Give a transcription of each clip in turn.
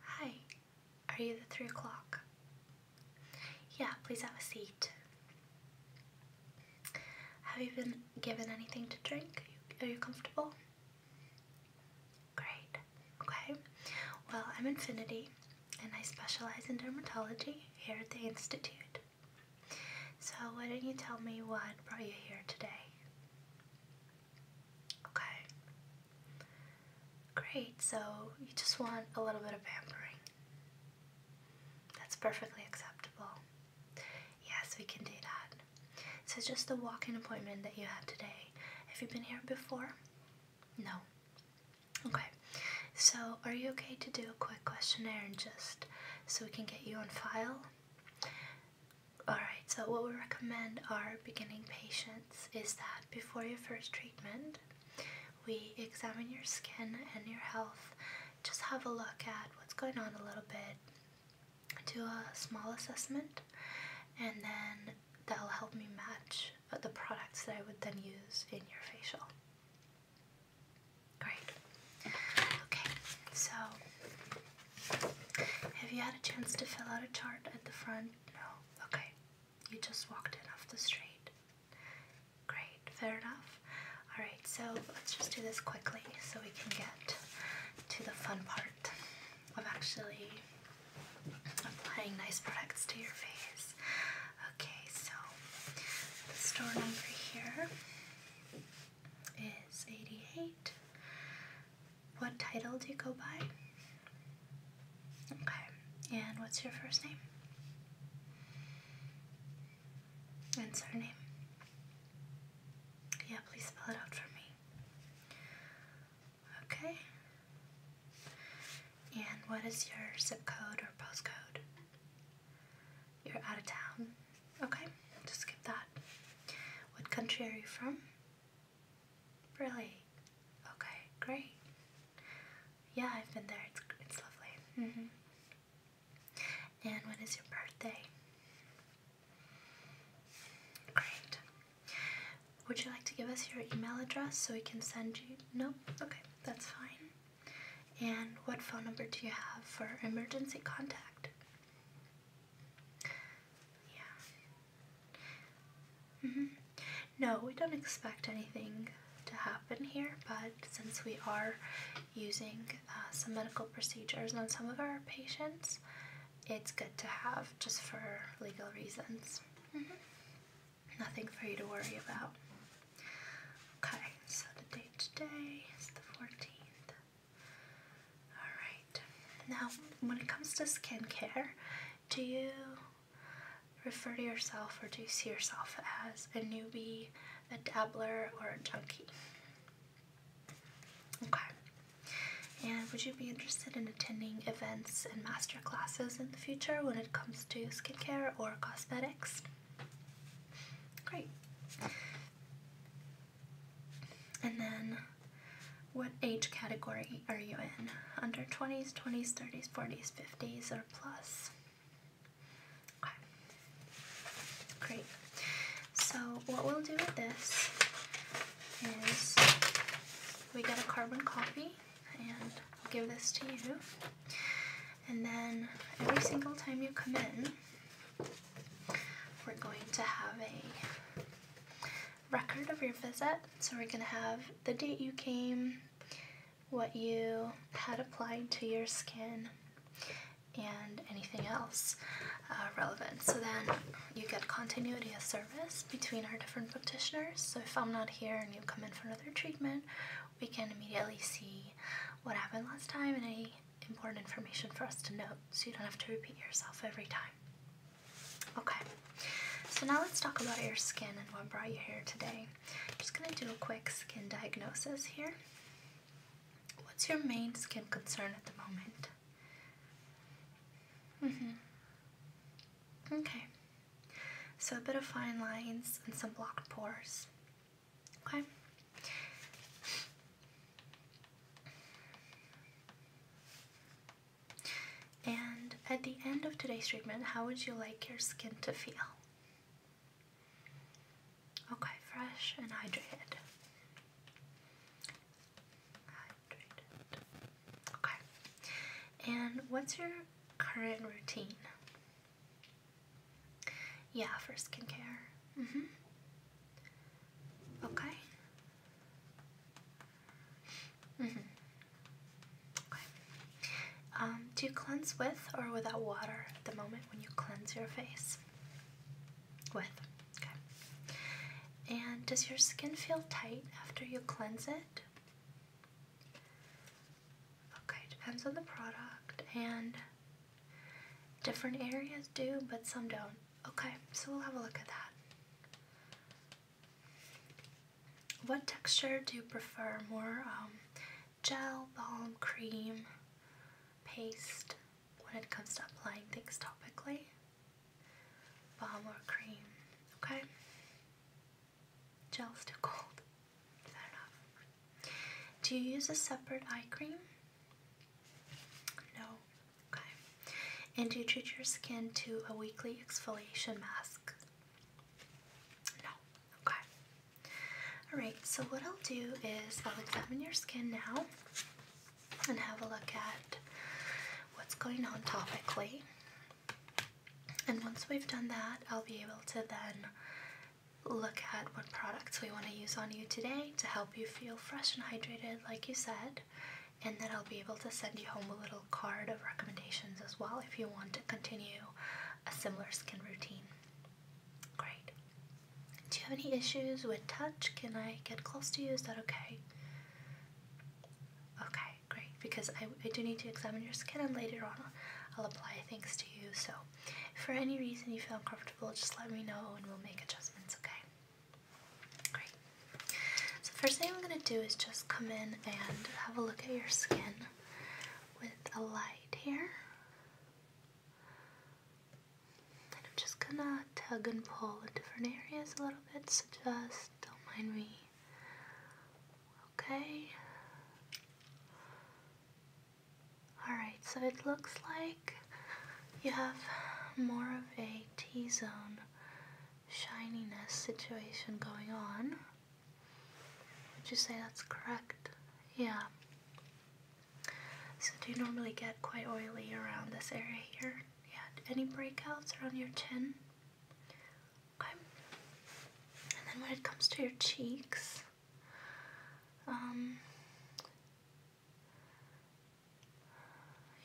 Hi, are you the three o'clock? Yeah, please have a seat. Have you been given anything to drink? Are you comfortable? Great. Okay. Well, I'm Infinity and I specialize in dermatology here at the Institute. So, why don't you tell me what brought you here today? Okay. Great, so you just want a little bit of pampering. That's perfectly acceptable. Yes, we can do that. So, just the walk in appointment that you had today. Have you been here before? No. Okay. So, are you okay to do a quick? quick questionnaire and just so we can get you on file. Alright, so what we recommend our beginning patients is that before your first treatment, we examine your skin and your health, just have a look at what's going on a little bit, do a small assessment, and then that'll help me match the products that I would then use in your facial. Great. Okay, so have you had a chance to fill out a chart at the front? No. Okay, you just walked in off the street. Great, fair enough. Alright, so let's just do this quickly so we can get to the fun part of actually applying nice products to your face. Okay, so the store number here is 88. What title do you go by? Okay, and what's your first name? And surname? Yeah, please spell it out for me. Okay. And what is your zip code or postcode? You're out of town. Okay, just skip that. What country are you from? Really? Okay, great. Yeah, I've been there. It's, it's lovely. Mm -hmm. And when is your birthday? Great. Would you like to give us your email address so we can send you? No? Okay, that's fine. And what phone number do you have for emergency contact? Yeah. Mm -hmm. No, we don't expect anything to happen here, but since we are using uh, some medical procedures on some of our patients, it's good to have just for legal reasons. Mm -hmm. Nothing for you to worry about. Okay, so the date today is the 14th. Alright, now when it comes to skincare, do you refer to yourself or do you see yourself as a newbie, a dabbler, or a junkie? Okay. And would you be interested in attending events and master classes in the future when it comes to skincare or cosmetics? Great. And then what age category are you in? Under 20s, 20s, 30s, 40s, 50s, or plus? Great. So what we'll do with this is we get a carbon copy and I'll give this to you. And then every single time you come in, we're going to have a record of your visit. So we're going to have the date you came, what you had applied to your skin, and anything else uh, relevant. So then you get continuity of service between our different practitioners. So if I'm not here and you come in for another treatment, we can immediately see what happened last time and any important information for us to note so you don't have to repeat yourself every time. Okay, so now let's talk about your skin and what brought you here today. I'm just going to do a quick skin diagnosis here. What's your main skin concern at the moment? Mm-hmm. Okay. So a bit of fine lines and some blocked pores. Okay. And at the end of today's treatment, how would you like your skin to feel? Okay, fresh and hydrated. Okay. And what's your current routine? Yeah, for skincare. Mm hmm. Okay. Mm hmm. Okay. Um, do you cleanse with or without water at the moment when you cleanse your face? With. Okay. And does your skin feel tight after you cleanse it? Okay, depends on the product, and different areas do, but some don't. Okay, so we'll have a look at that. What texture do you prefer? More um, gel, balm, cream, paste when it comes to applying things topically? Balm or cream? Okay? Gel's too cold. Fair enough. Do you use a separate eye cream? No. Okay. And do you treat your skin to a weekly exfoliation mask? No. Okay. Alright, so what I'll do is I'll examine your skin now and have a look at what's going on topically. And once we've done that, I'll be able to then look at what products we want to use on you today to help you feel fresh and hydrated, like you said. And then I'll be able to send you home a little card of recommendations as well if you want to continue a similar skin routine. Great. Do you have any issues with touch? Can I get close to you? Is that okay? Okay, great. Because I, I do need to examine your skin and later on I'll apply things to you. So if for any reason you feel uncomfortable, just let me know and we'll make adjustments, okay? Great. So first thing I'm going to do is just come in and have a look at your skin with a light here. And I'm just going to tug and pull in different areas a little bit, so just don't mind me. Okay. Alright, so it looks like you have more of a T zone shininess situation going on. Would you say that's correct? Yeah. So, do you normally get quite oily around this area here? Yeah. Any breakouts around your chin? Okay. And then when it comes to your cheeks, um,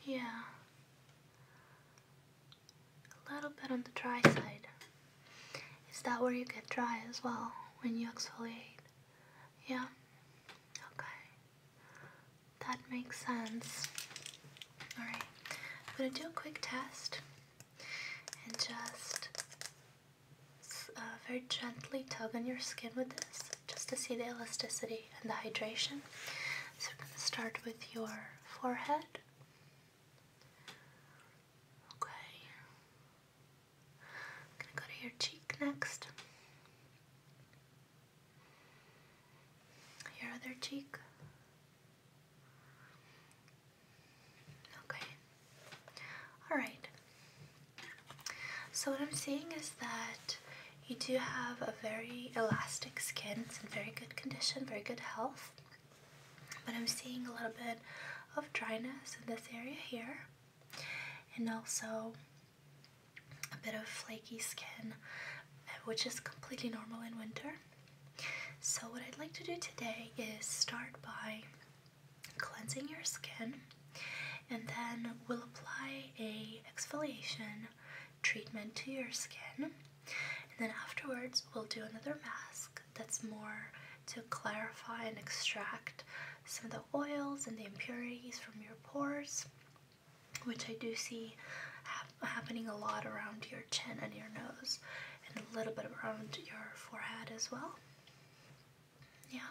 yeah, a little bit on the dry side. Is that where you get dry as well when you exfoliate? Yeah, okay, that makes sense. Alright, I'm gonna do a quick test and just uh, very gently tug on your skin with this just to see the elasticity and the hydration. So we're going to start with your forehead. Okay. going to go to your cheek next. Your other cheek. Okay. Alright. So what I'm seeing is that you do have a very elastic skin. It's in very good condition, very good health. But I'm seeing a little bit of dryness in this area here. And also a bit of flaky skin, which is completely normal in winter. So what I'd like to do today is start by cleansing your skin, and then we'll apply a exfoliation treatment to your skin. And then afterwards, we'll do another mask that's more to clarify and extract some of the oils and the impurities from your pores, which I do see happening a lot around your chin and your nose, and a little bit around your forehead as well. Yeah.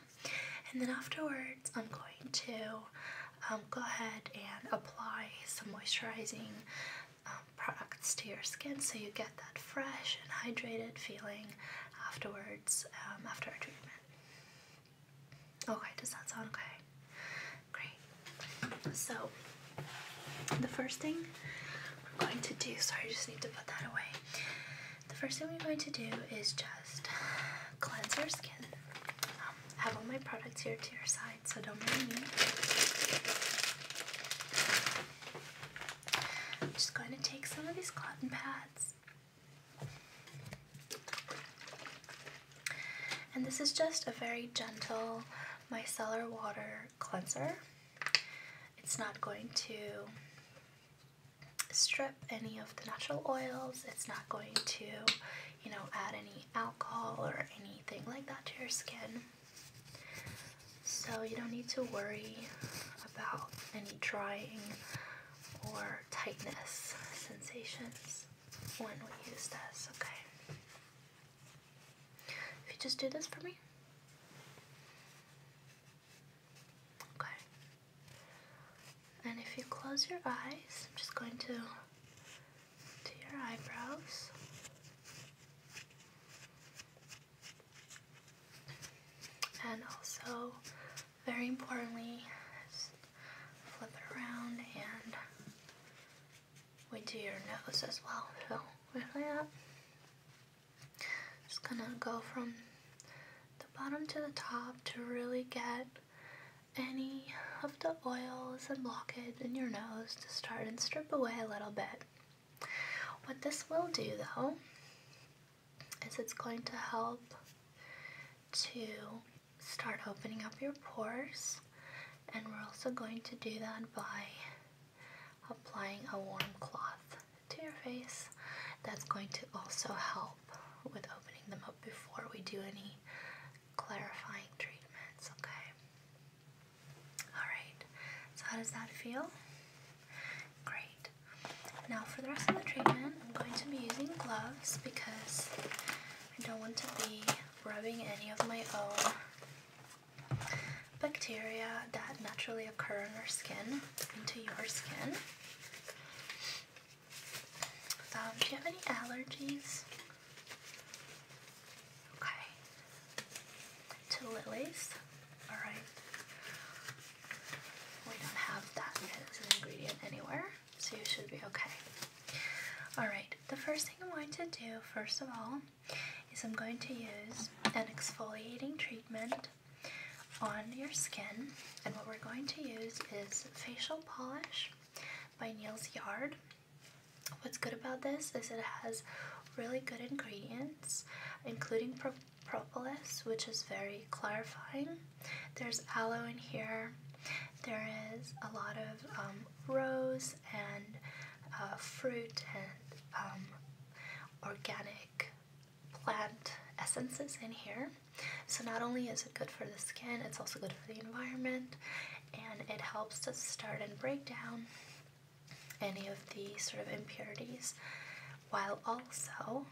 And then afterwards, I'm going to um, go ahead and apply some moisturizing um, products to your skin so you get that fresh and hydrated feeling afterwards um, after our treatment. Okay, does that sound okay? Great. So, the first thing I'm going to do, sorry, I just need to put that away the first thing we're going to do is just cleanse your skin. Um, I have all my products here to your side, so don't mind me. I'm just going to take some of these cotton pads. And this is just a very gentle micellar water cleanser. It's not going to strip any of the natural oils. It's not going to, you know, add any alcohol or anything like that to your skin. So you don't need to worry about any drying or tightness sensations when we use this, okay? If you just do this for me. Okay. And if you close your eyes, I'm just going to do your eyebrows. And also, very importantly, flip it around and we do your nose as well. So, like that. Just gonna go from the bottom to the top to really get any of the oils and blockage in your nose to start and strip away a little bit. What this will do though is it's going to help to start opening up your pores and we're also going to do that by applying a warm cloth to your face. That's going to also help with opening them up before we do any clarifying treatments, okay? Alright, so how does that feel? Great. Now for the rest of the treatment, I'm going to be using gloves because I don't want to be rubbing any of my own bacteria that naturally occur on our skin into your skin. Um, do you have any allergies? Okay. To lilies? Alright. We don't have that as an ingredient anywhere, so you should be okay. Alright, the first thing I'm going to do, first of all, is I'm going to use an exfoliating treatment on your skin. And what we're going to use is Facial Polish by Neil's Yard. What's good about this is it has really good ingredients, including propolis, which is very clarifying. There's aloe in here. There is a lot of um, rose and uh, fruit and um, organic plant essences in here. So not only is it good for the skin, it's also good for the environment and it helps to start and break down any of the sort of impurities while also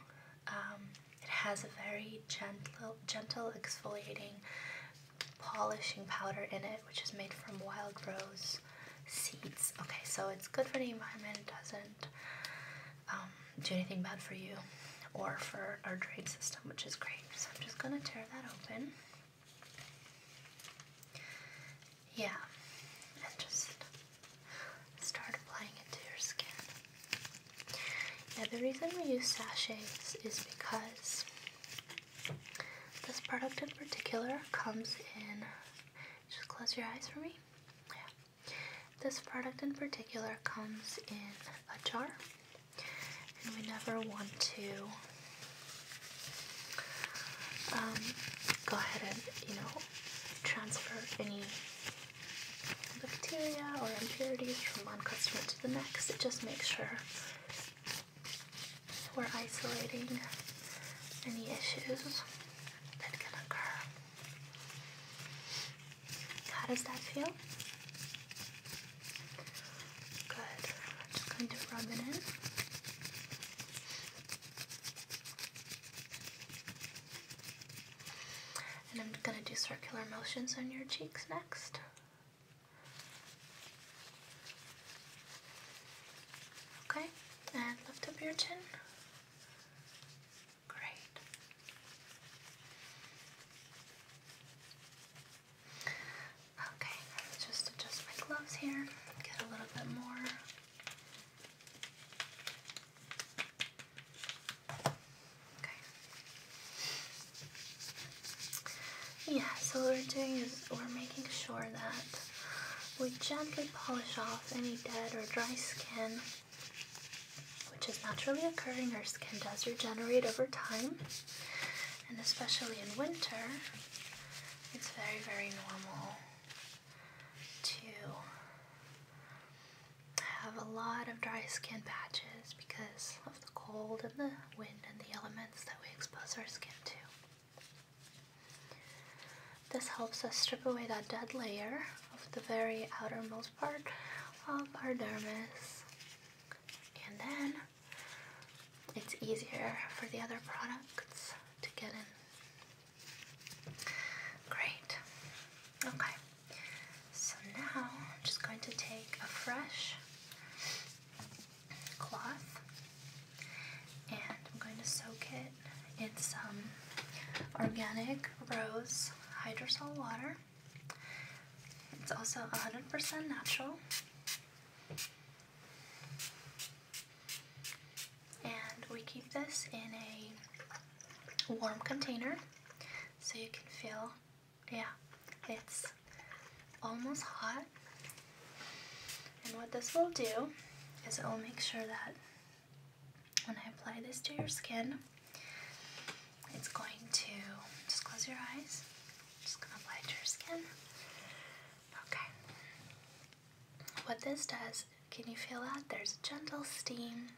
um, it has a very gentle, gentle exfoliating polishing powder in it which is made from wild rose seeds. Okay, so it's good for the environment, it doesn't um, do anything bad for you or for our drain system, which is great. So I'm just gonna tear that open. Yeah, and just start applying it to your skin. Yeah, the reason we use sachets is because this product in particular comes in. Just close your eyes for me. Yeah. This product in particular comes in a jar, and we never want to um, go ahead and, you know, transfer any bacteria or impurities from one customer to the next. It just makes sure we're isolating any issues that can occur. How does that feel? Good. I'm just going to rub it in. And I'm going to do circular motions on your cheeks next. Okay, and lift up your chin. Great. Okay, let's just adjust my gloves here, get a little bit more. Okay. Yeah, so what we're doing is we're making sure that we gently polish off any dead or dry skin, which is naturally occurring. Our skin does regenerate over time, and especially in winter, it's very, very normal to have a lot of dry skin patches because of the cold and the wind and the elements that we expose our skin to. This helps us strip away that dead layer of the very outermost part of our dermis. And then it's easier for the other products to get in. Great. Okay. So now I'm just going to take a fresh cloth and I'm going to soak it it's um, organic rose hydrosol water. It's also 100% natural. And we keep this in a warm container so you can feel, yeah, it's almost hot. And what this will do is it will make sure that when I apply this to your skin, it's going to just close your eyes. just gonna apply it to your skin. Okay. What this does, can you feel that? There's gentle steam,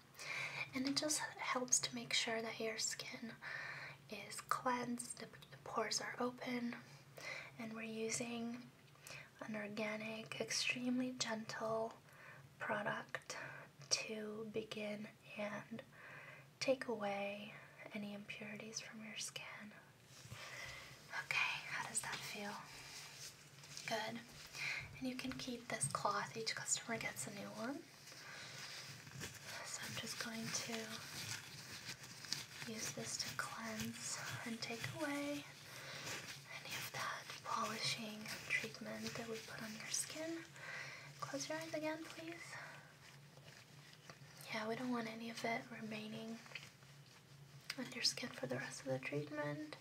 and it just helps to make sure that your skin is cleansed, the pores are open, and we're using an organic, extremely gentle product to begin and take away any impurities from your skin. Okay, how does that feel? Good. And you can keep this cloth, each customer gets a new one. So I'm just going to use this to cleanse and take away any of that polishing treatment that we put on your skin. Close your eyes again, please. Yeah, we don't want any of it remaining on your skin for the rest of the treatment.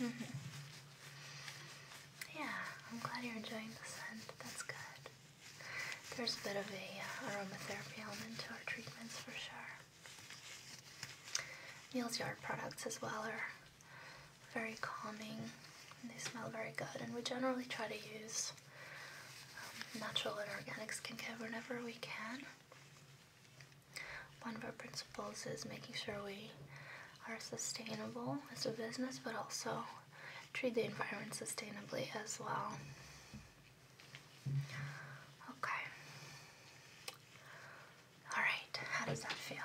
Mm -hmm. Yeah, I'm glad you're enjoying the scent. That's good. There's a bit of a uh, aromatherapy element to our treatments for sure. Neal's Yard products as well are very calming. And they smell very good, and we generally try to use um, natural and organic skincare whenever we can. One of our principles is making sure we are sustainable as a business, but also treat the environment sustainably as well. Okay. Alright, how does that feel?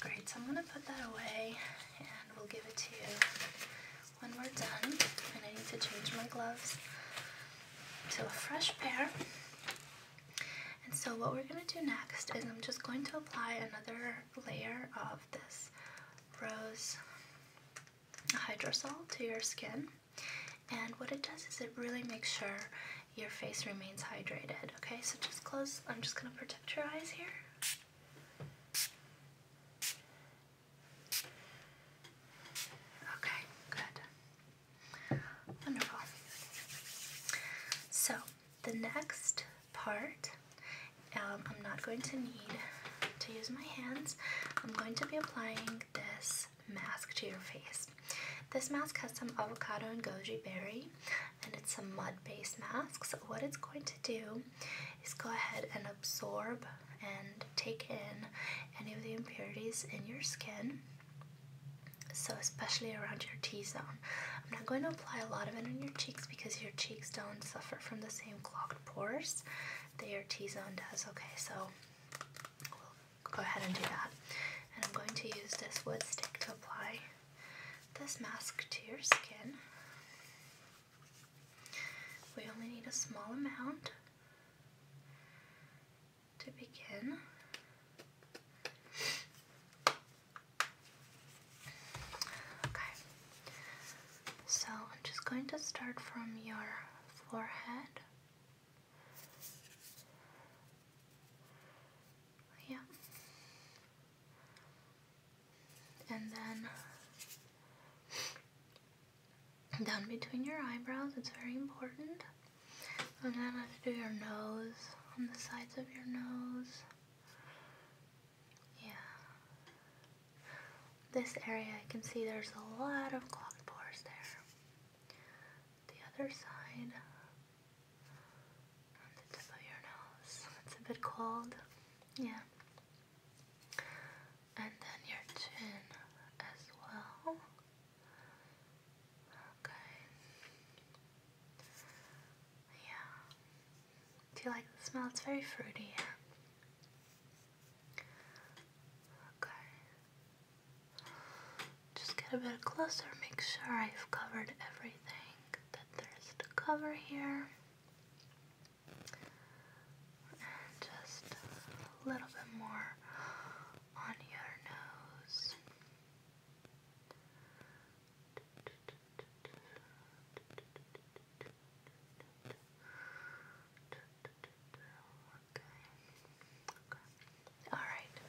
Great, so I'm going to put that away and we'll give it to you when we're done. And I need to change my gloves to a fresh pair. And so what we're going to do next is I'm just going to apply another layer of this rose hydrosol to your skin. And what it does is it really makes sure your face remains hydrated. Okay, so just close. I'm just going to protect your eyes here. Okay, good. Wonderful. So, the next part. Um, I'm not going to need to use my hands. I'm going to be applying this mask to your face. This mask has some avocado and goji berry and it's a mud based mask. So what it's going to do is go ahead and absorb and take in any of the impurities in your skin so especially around your T-zone. I'm not going to apply a lot of it on your cheeks because your cheeks don't suffer from the same clogged pores that your T-zone does. Okay, so we'll go ahead and do that. And I'm going to use this wood stick to apply this mask to your skin. We only need a small amount to begin. Okay, so I'm just going to start from your forehead. Yeah. And then down between your eyebrows, it's very important. And then I have to do your nose, on the sides of your nose. Yeah. This area, I can see there's a lot of clogged pores there. The other side, on the tip of your nose, it's a bit cold. Yeah. And then your chin as well. Okay. Yeah. Do you like the smell? It's very fruity, Okay. Just get a bit closer, make sure I've covered everything that there's to cover here. just a little bit more on your nose. Okay. All right.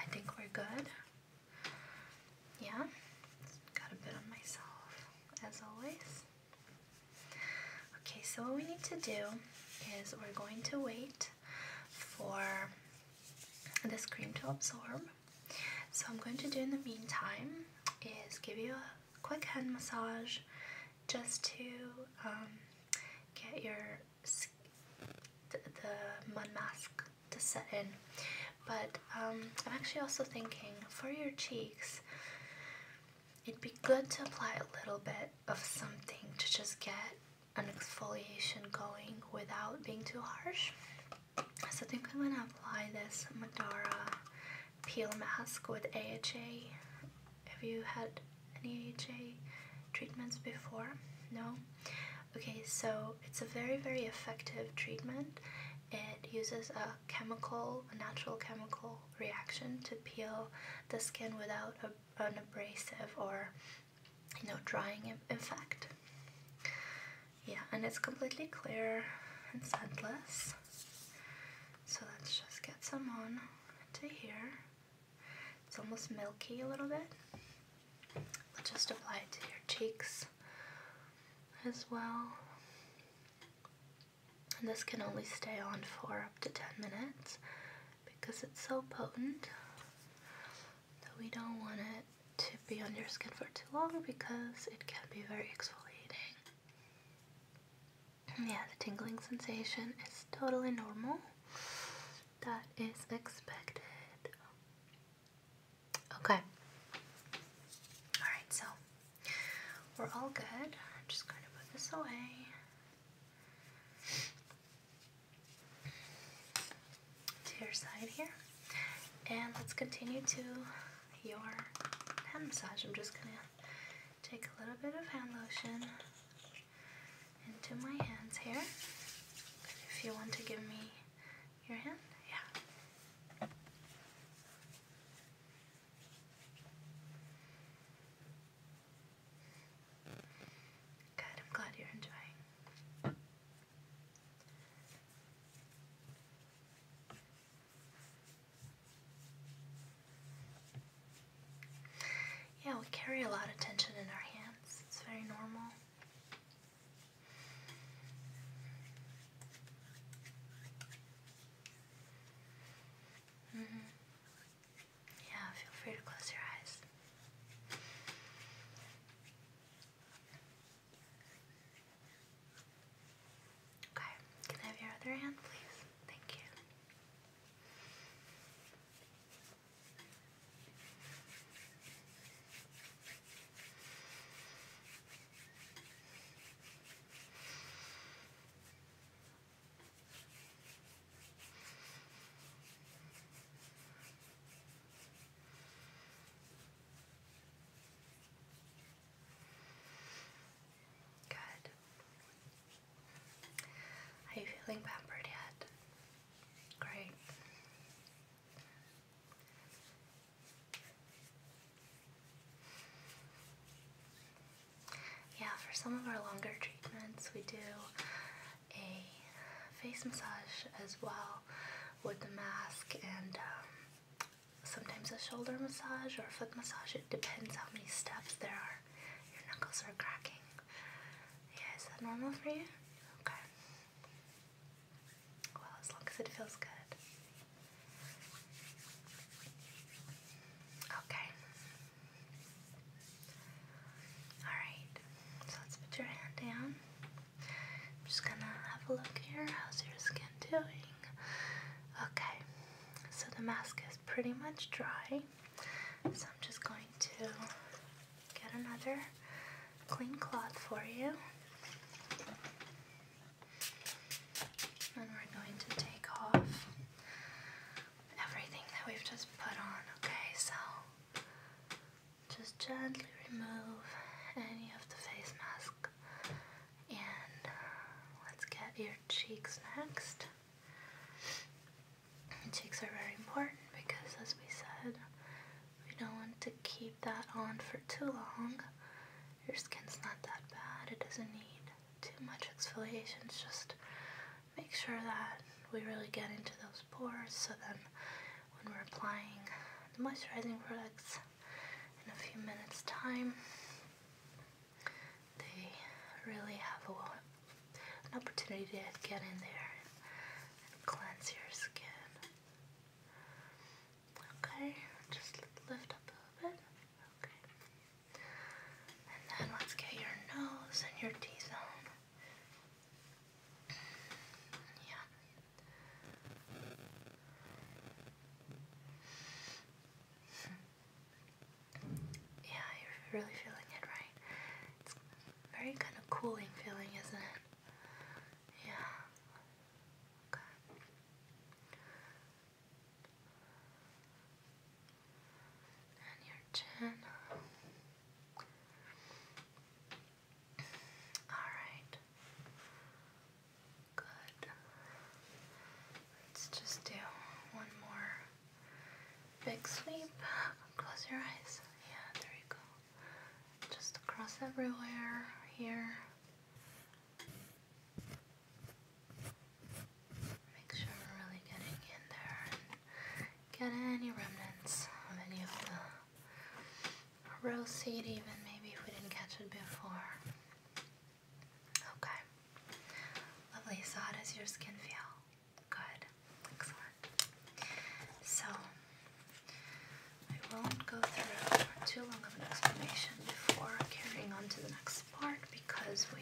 I think we're good. Yeah. Got a bit on myself, as always. Okay, so what we need to do is we're going to wait for the cream to absorb. So I'm going to do in the meantime is give you a quick hand massage just to um, get your the, the mud mask to set in. But um, I'm actually also thinking for your cheeks, it'd be good to apply a little bit of something to just get an exfoliation going without being too harsh. So I think I'm going to apply this Madara peel mask with AHA. Have you had any AHA treatments before? No? Okay, so it's a very, very effective treatment. It uses a chemical, a natural chemical reaction to peel the skin without an abrasive or you know, drying in, in fact. Yeah, and it's completely clear and scentless. So let's just get some on to here. It's almost milky a little bit. Let's just apply it to your cheeks as well. And this can only stay on for up to 10 minutes because it's so potent. So we don't want it to be on your skin for too long because it can be very exfoliating. Yeah, the tingling sensation is totally normal. That is expected. Okay. Alright, so we're all good. I'm just going to put this away to your side here. And let's continue to your hand massage. I'm just gonna take a little bit of hand lotion into my hands here. If you want to give me your hand, yeah. Good, I'm glad you're enjoying. Yeah, we carry a lot of tension in our hands. It's very normal. Mm -hmm. Yeah, feel free to close your eyes. Okay, can I have your other hand, please? Thank you. Good. Are you feeling pampered yet? Great. Yeah, for some of our longer treatments, we do a face massage as well with the mask and um, sometimes a shoulder massage or foot massage. It depends how many steps there are. Your knuckles are cracking. Yeah, is that normal for you? Okay. Well, as long as it feels good. Okay. Alright, so let's put your hand down. I'm just gonna have a look here. How's your skin doing? Okay, so the mask is pretty much dry. So I'm just going to get another clean cloth for you. And we're going to take off everything that we've just put on, okay? So just gently remove any of the face mask. And uh, let's get your cheeks next. The cheeks are very important because, as we said, we don't want to keep that on for too long. Your skin's not that bad, it doesn't need too much exfoliation. just make sure that we really get into those pores so then when we're applying the moisturizing products in a few minutes time. They really have a, an opportunity to get in there and cleanse your skin. Okay, just lift up a little bit. Okay. And then let's get your nose and your T-zone yeah. yeah, you're really feeling it, right? It's very kind of cooling feeling, isn't it? Yeah. And your chin. Alright. Good. Let's just do one more big sweep. Close your eyes. Yeah, there you go. Just across everywhere. Here. Make sure we're really getting in there get any remnants of any of the Rose seed even maybe if we didn't catch it before. Okay. Lovely. how does your skin feel? Good. Excellent. So I won't go through too long of an explanation before carrying on to the next part because we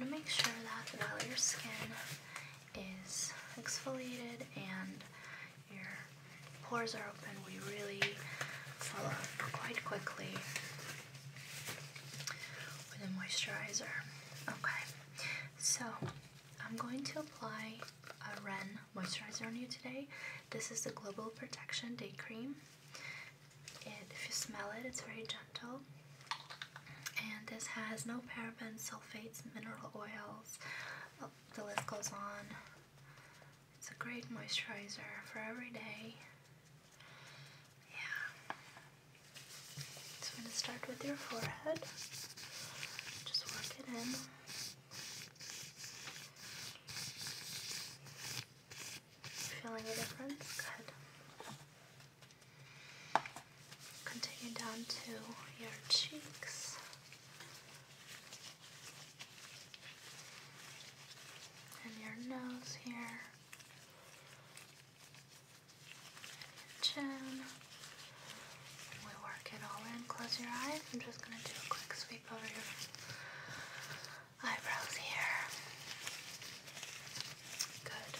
want to make sure that while your skin is exfoliated and your pores are open, we really fall up quite quickly with a moisturizer. Okay, so I'm going to apply a Ren moisturizer on you today. This is the Global Protection Day Cream. It, if you smell it, it's very gentle. And this has no parabens, sulfates, mineral oil, Oh, the list goes on. It's a great moisturizer for every day. Yeah. So I'm going to start with your forehead. Just work it in. Feeling a difference? Good continue down to your cheeks and your nose here, and chin. We work it all in. Close your eyes. I'm just going to do a quick sweep over your eyebrows here. Good.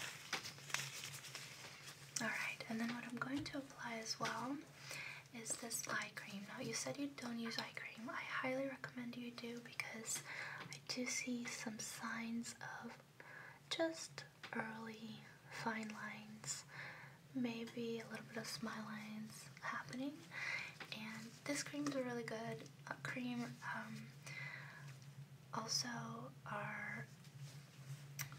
Alright, and then what I'm going to apply as well is this eye cream. Now, you said you don't use eye cream. I highly recommend you do because I do see some signs of just early fine lines, maybe a little bit of smile lines happening. And this cream's a really good cream. Um, also, are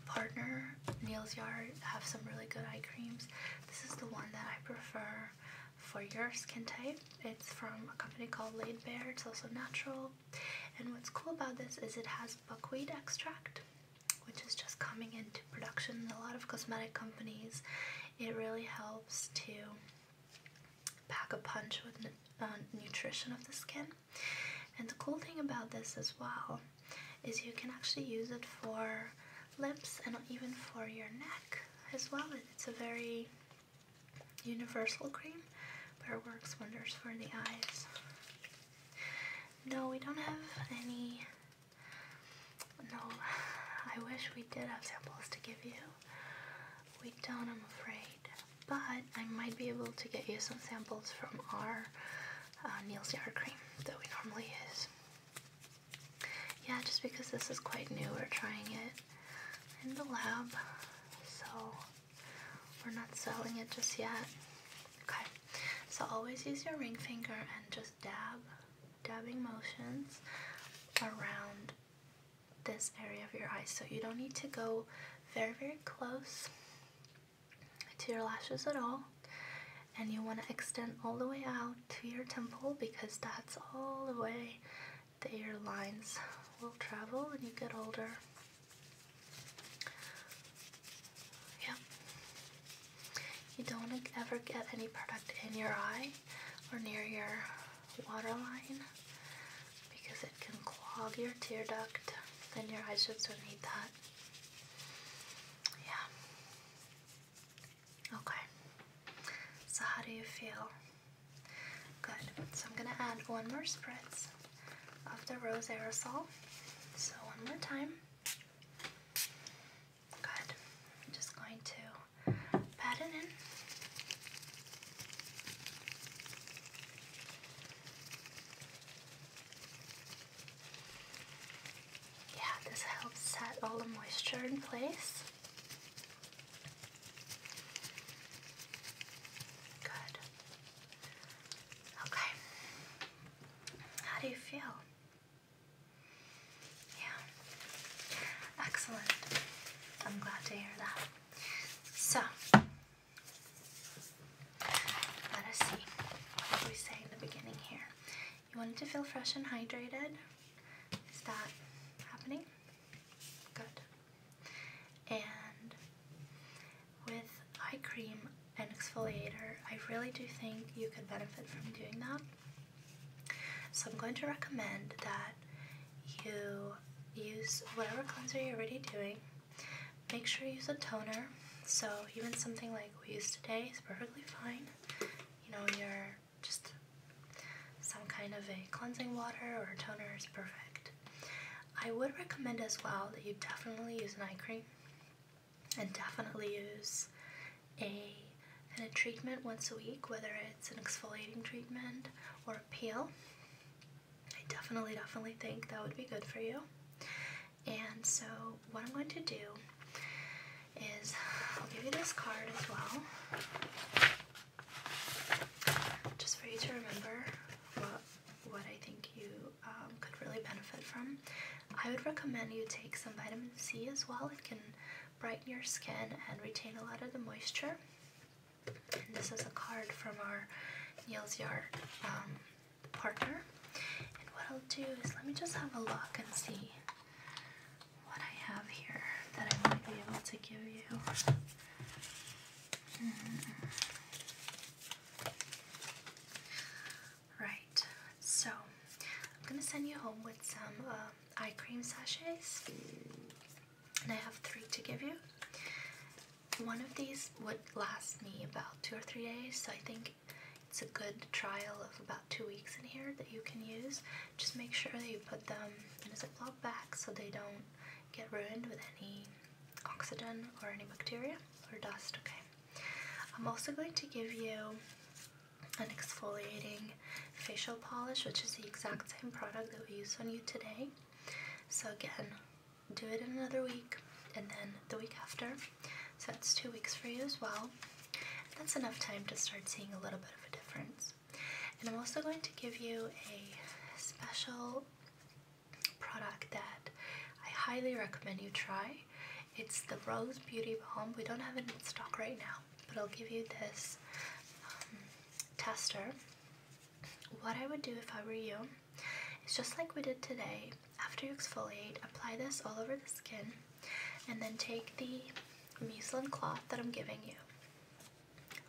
partner, Nails Yard, have some really good eye creams. This is the one that I prefer for your skin type. It's from a company called Laid Bare. It's also natural. And what's cool about this is it has buckwheat extract, which is just coming into production a lot of cosmetic companies. It really helps to pack a punch with uh, nutrition of the skin. And the cool thing about this as well is you can actually use it for lips and even for your neck as well. It's a very universal cream, but it works wonders for the eyes. No, we don't have any. No, I wish we did have samples to give you. We don't, I'm afraid. But I might be able to get you some samples from our uh, Neil's Yard Cream that we normally use. Yeah, just because this is quite new, we're trying it in the lab, so we're not selling it just yet. Okay, so always use your ring finger and just dab, dabbing motions around this area of your eye. So you don't need to go very, very close to your lashes at all. And you want to extend all the way out to your temple because that's all the way that your lines will travel when you get older. Yep. You don't ever get any product in your eye or near your waterline because it can clog your tear duct and your eyes just don't need that. Yeah. Okay. So how do you feel? Good. So I'm gonna add one more spritz of the rose aerosol. So one more time. Good. I'm just going to pat it in. Yeah, this helps set all the moisture in place. Good. Okay. How do you feel? Yeah. Excellent. I'm glad to hear that. So, let us see. What did we say in the beginning here? You wanted to feel fresh and hydrated. Is that happening? Good. And with eye cream and exfoliator, I really do think you could benefit from doing that. So I'm going to recommend that you use whatever cleanser you're already doing Make sure you use a toner. So even something like we use today is perfectly fine. You know, your just some kind of a cleansing water or toner is perfect. I would recommend as well that you definitely use an eye cream and definitely use a and a treatment once a week, whether it's an exfoliating treatment or a peel. I definitely, definitely think that would be good for you. And so, what I'm going to do is I'll give you this card as well, just for you to remember what what I think you um, could really benefit from. I would recommend you take some vitamin C as well. It can brighten your skin and retain a lot of the moisture. And this is a card from our Neil's Yard partner. And what I'll do is let me just have a look and see what I have here that I might be able to give you. Hmm. Right, so I'm gonna send you home with some uh, eye cream sachets, and I have three to give you one of these would last me about two or three days, so I think it's a good trial of about two weeks in here that you can use. Just make sure that you put them in a Ziploc bag so they don't get ruined with any oxygen or any bacteria or dust, okay? I'm also going to give you an exfoliating facial polish, which is the exact same product that we used on you today. So again, do it in another week and then the week after. So that's two weeks for you as well. that's enough time to start seeing a little bit of a difference. And I'm also going to give you a special product that I highly recommend you try. It's the Rose Beauty Balm. We don't have it in stock right now, but I'll give you this um, tester. What I would do if I were you it's just like we did today. After you exfoliate, apply this all over the skin and then take the muslin cloth that I'm giving you.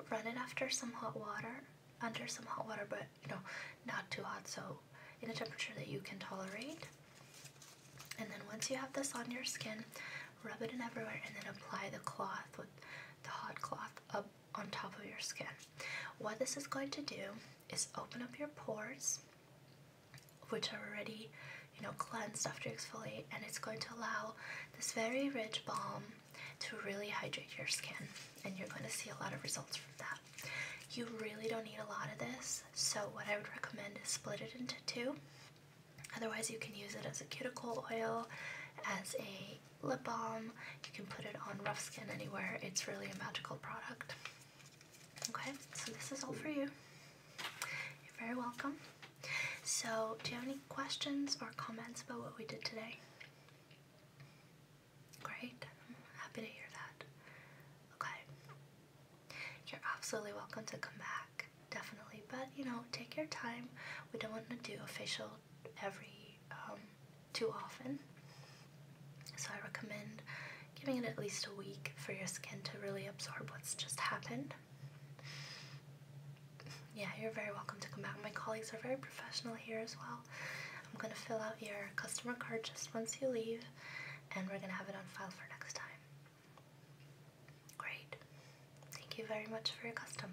Run it after some hot water, under some hot water, but you know, not too hot, so in a temperature that you can tolerate. And then once you have this on your skin, rub it in everywhere and then apply the cloth with the hot cloth up on top of your skin. What this is going to do is open up your pores, which are already, you know, cleansed after exfoliate, and it's going to allow this very rich balm to really hydrate your skin, and you're going to see a lot of results from that. You really don't need a lot of this, so what I would recommend is split it into two. Otherwise, you can use it as a cuticle oil, as a lip balm, you can put it on rough skin anywhere. It's really a magical product. Okay, so this is all for you. You're very welcome. So, do you have any questions or comments about what we did today? Great, I'm happy to hear that. Okay, you're absolutely welcome to come back, definitely. But you know, take your time. We don't want to do official facial every um, too often. So I recommend giving it at least a week for your skin to really absorb what's just happened. Yeah, you're very welcome to come back. My colleagues are very professional here as well. I'm going to fill out your customer card just once you leave, and we're going to have it on file for next time. Great. Thank you very much for your custom.